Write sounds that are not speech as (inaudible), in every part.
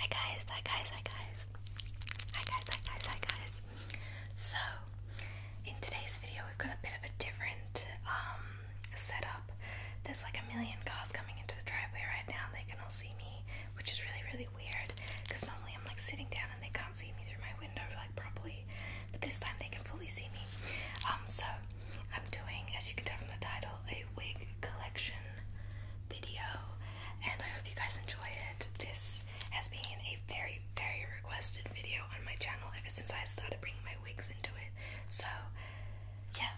Hi guys, hi guys, hi guys. Hi guys, hi guys, hi guys. So, in today's video, we've got a bit of a different um, setup. There's like a million cars coming into the driveway right now, they can all see me, which is really, really weird because normally I'm like sitting down and they can't see me through my window like properly, but this time they can fully see me. Um, so, I'm doing, as you can tell from the title, a wig collection video, and I hope you guys enjoy it. This has been a very, very requested video on my channel ever since I started bringing my wigs into it. So, yeah,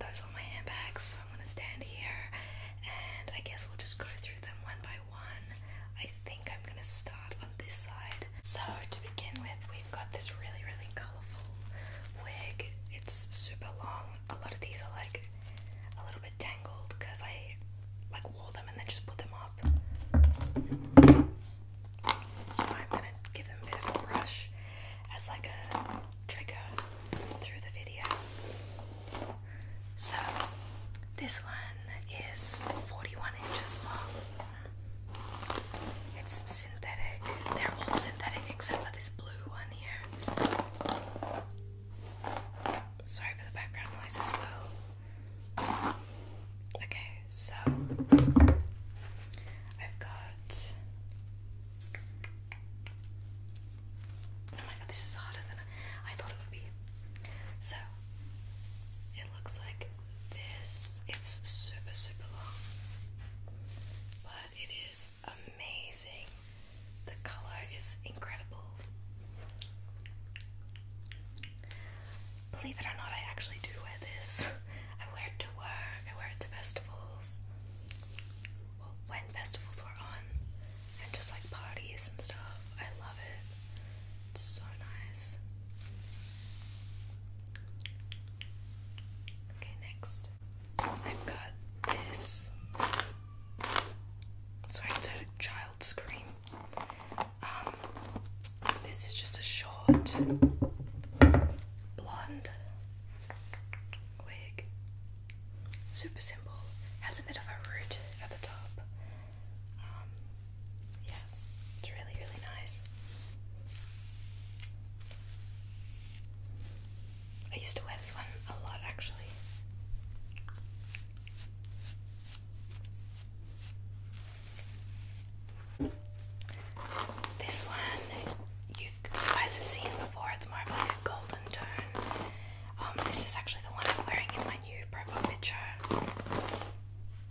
those are my handbags. So, I'm gonna stand here and I guess we'll just go through them one by one. I think I'm gonna start on this side. So to begin with, we've got this really, really colourful wig. It's super long. A lot of these are like a little bit tangled because I like wore them and then just put them up. So I'm gonna give them a bit of a brush as like a trigger through the video. So this one is 41 inches long. It's synthetic. They're all synthetic except for this blue one here. Sorry for the background noise as well. Okay, so I've got. Oh my god, this is harder than I, thought it would be. So, it looks like this. It's super, super long, but it is amazing. The color is incredible. Believe it or not, I actually do wear this. (laughs) I wear it to work, I wear it to festivals. when festivals were on, and just like parties and stuff. I love it. It's so nice. Okay, next I've got this. Sorry, it's child scream. Um, this is just a short blonde wig. Super simple. Has a bit of a root at the top. Um, yeah, it's really, really nice. I used to wear this one a lot actually. This one you guys have seen before, it's more of like a golden tone. Um, this is actually the one I'm wearing in my new profile picture. A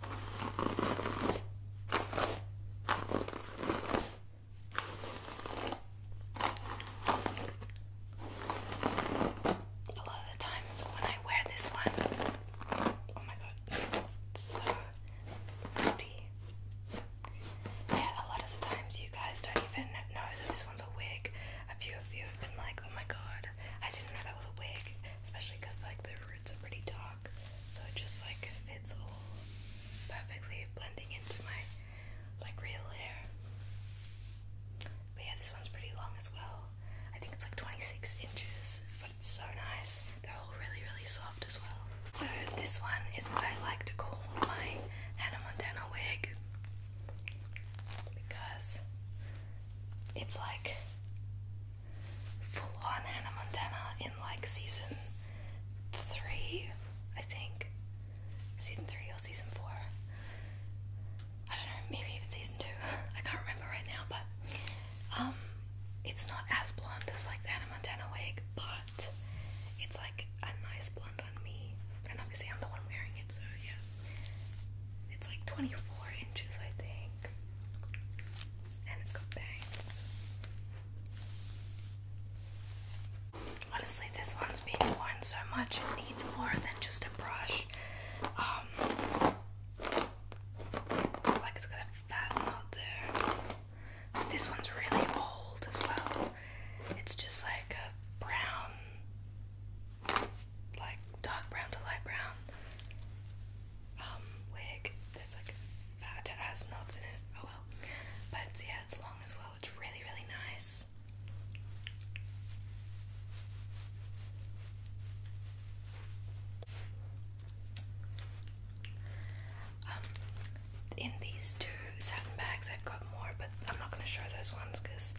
lot of the times when I wear this one, oh my god, so pretty. Yeah, a lot of the times you guys don't even know that this one's a wig. A few of you have been like, oh my god, I didn't know that was a wig, especially because like the roots are pretty dark, so it just like fits all perfectly, blending into my like real hair. But yeah, this one's pretty long as well. I think it's like 26 inches, but it's so nice. They're all really, really soft as well. So this one is what I like to call my Hannah Montana wig because it's like full on Hannah Montana in like season three, I think. Season three or season four. I don't know, maybe even season two. (laughs) I can't remember right now, but um it's not as blonde as like the Hannah Montana wig, but it's like a nice blonde on me. And obviously I'm the one wearing it, so yeah. It's like 24 inches, I think pink. And it's been worn so much, it needs more than just a brush. Um, like it's got a fat knot there. this one's really old as well. It's just like a brown like dark brown to light brown um, wig. There's like fat has knots in it. Oh well. But yeah, it's long as well. It's really, really nice. Um, in these two satin bags, I've got more, but I'm not going to show those ones because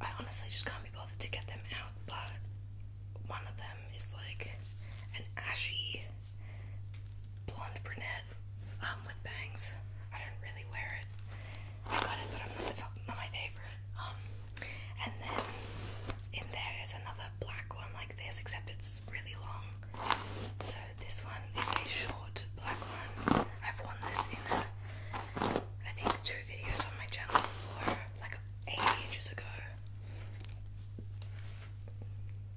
I honestly just can't be bothered to get them out, but one of them is like an ashy blonde brunette um, with bangs. I don't really wear it. I got it, but I'm not, it's not my favorite. Um, and then in there is another black one like this, except it's really long. So this one is a short black one. I've worn this in, a, I think, two videos on my channel for like ages ago.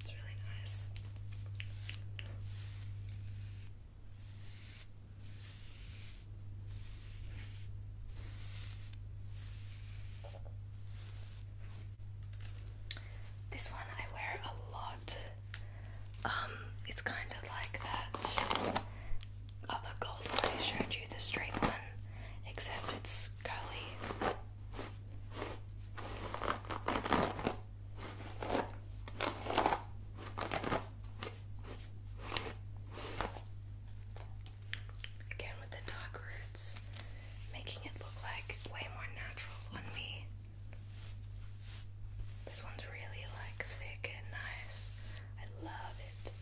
It's really nice. This one I wear a lot. Um, it's kind of like that of gold one I showed you, the straight one, except it's curly. Again with the dark roots, making it look like way more natural on me. This one's really like thick and nice. I love it.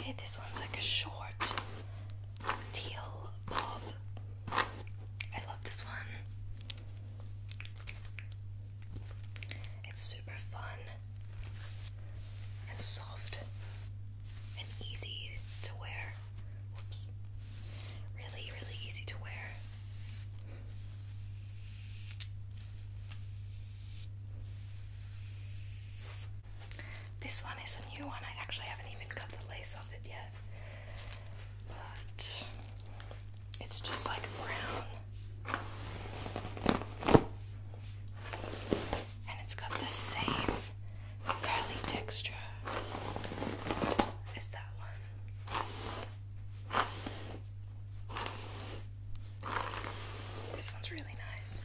Okay, this one's like a short teal bob. I love this one. It's super fun and soft and easy to wear. Whoops. Really, really easy to wear. This one is a new one. I actually haven't even cut the lace off it yet. But it's just like brown. And it's got the same curly texture as that one. This one's really nice.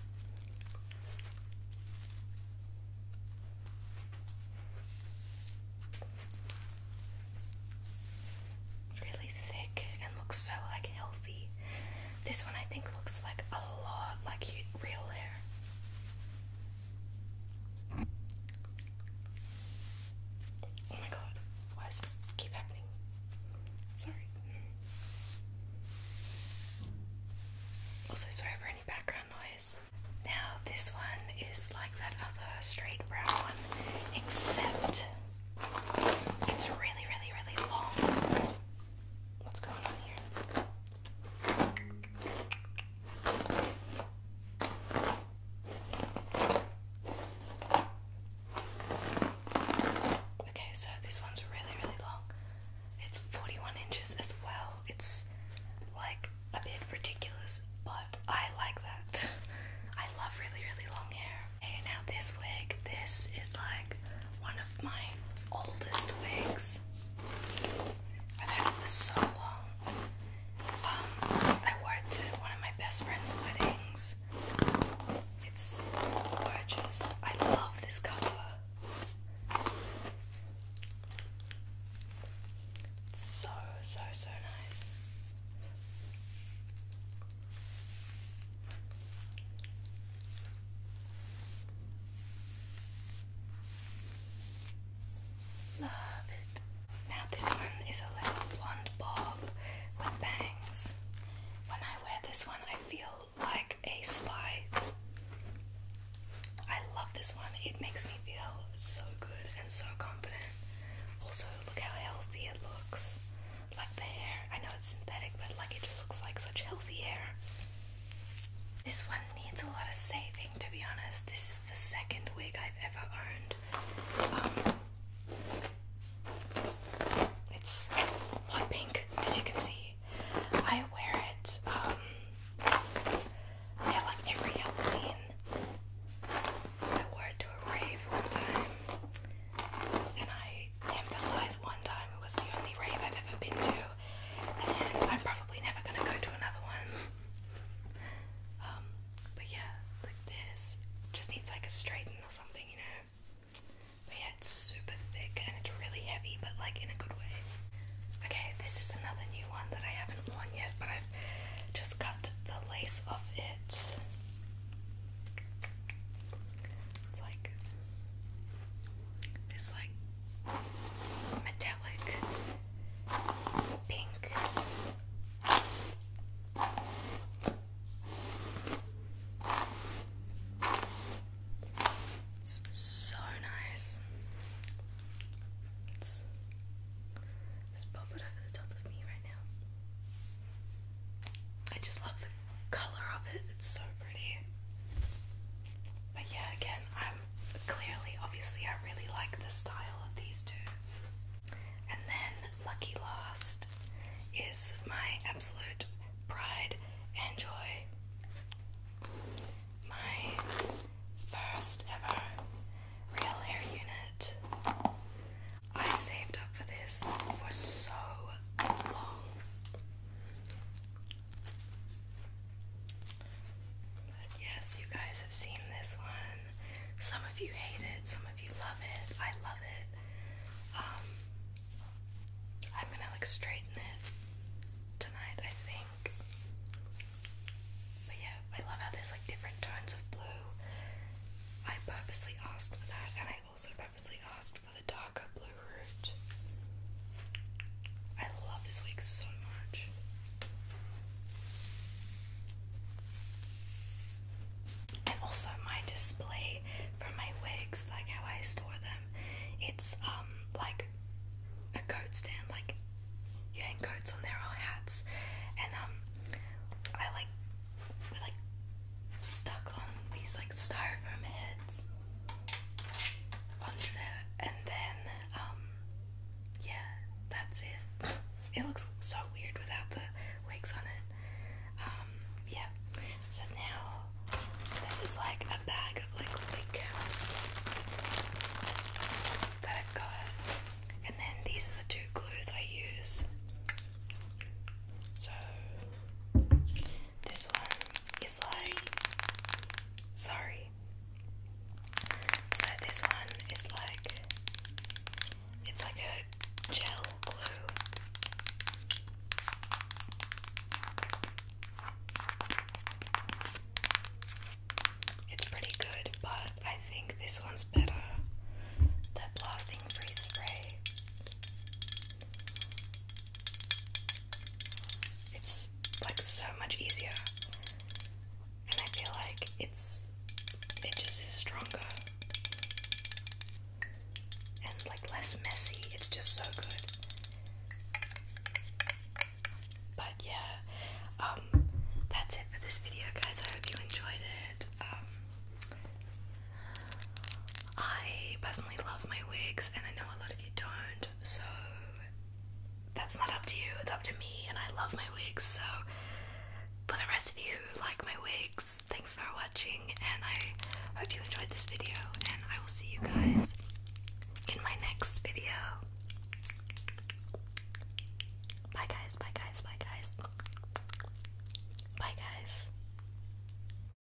Really thick and looks so like healthy. This one I think looks like a lot like real hair. Oh my god, why does this keep happening? Sorry. Also, sorry for any background noise. Now, this one is like that other straight brown one, except it's really, really, really long. What's going on here? Okay, so this one's really, really long. It's 41 inches as well. It's like a bit ridiculous, but I like that. I love really, really long hair. And now this wig, this is like one of my oldest wigs. I've had it for so long. Um, I wore it to one of my best friend's weddings. It's gorgeous. I love this color. It's so, so, so nice. Love it. Now this one is a little blonde bob with bangs. When I wear this one, I feel like a spy. I love this one. It makes me feel so good and so confident. Also, look how healthy it looks. Like the hair. I know it's synthetic, but like it just looks like such healthy hair. This one needs a lot of saving to be honest. This is the second wig I've ever owned. Um, it's hot pink, as you can see. I wear it um, at like every Halloween. I wore it to a rave one time, and I emphasize one time it was the only rave I've ever been to, and I'm probably never gonna go to another one. Um, but yeah, like this just needs like a straighten or something, you know. But yeah, it's super thick and it's really heavy, but like in a good way. Okay, this is another new one that I haven't worn yet, but I've just cut the lace off it. It's like this like metallic pink. It's so nice. just pop it over the top of me right now. I just love the color of it, it's so pretty. But yeah, again, I clearly, obviously, I really like the style of these two. And then, lucky last is my absolute pride and joy. My first ever real hair unit. I saved up for this for so long. But yes, you guys have seen this one. Some of you hate it, some of you love it. I love it. Um, I'm gonna like straighten it tonight, I think. But yeah, I love how there's like different tones of blue. I purposely asked for that, and I also purposely asked for the darker blue I love this wig so much. And also my display for my wigs, like how I store them, it's um like a coat stand, like you hang coats on there or hats, and um I like like stuck on these like styrofoam heads onto there, and then, um, yeah, that's it. It looks so weird without the wigs on it. Um, yeah. So now, this is like a bag of like wig caps that I've got, and then these are the two glues I use. So this one is like sorry. So this one is like it's like a gel glue. It's pretty good, but I think this one's better. The blasting free spray. It's like so much easier. And I feel like it's it just is stronger and like less messy. It's just so good. But yeah, um that's it for this video guys. I hope you enjoyed it. Um I personally love my wigs and I know a lot don't. So that's not up to you, it's up to me, and I love my wigs. So, for the rest of you who like my wigs, thanks for watching, and I hope you enjoyed this video. And I will see you guys in my next video. Bye, guys, bye, guys, bye, guys, bye, guys.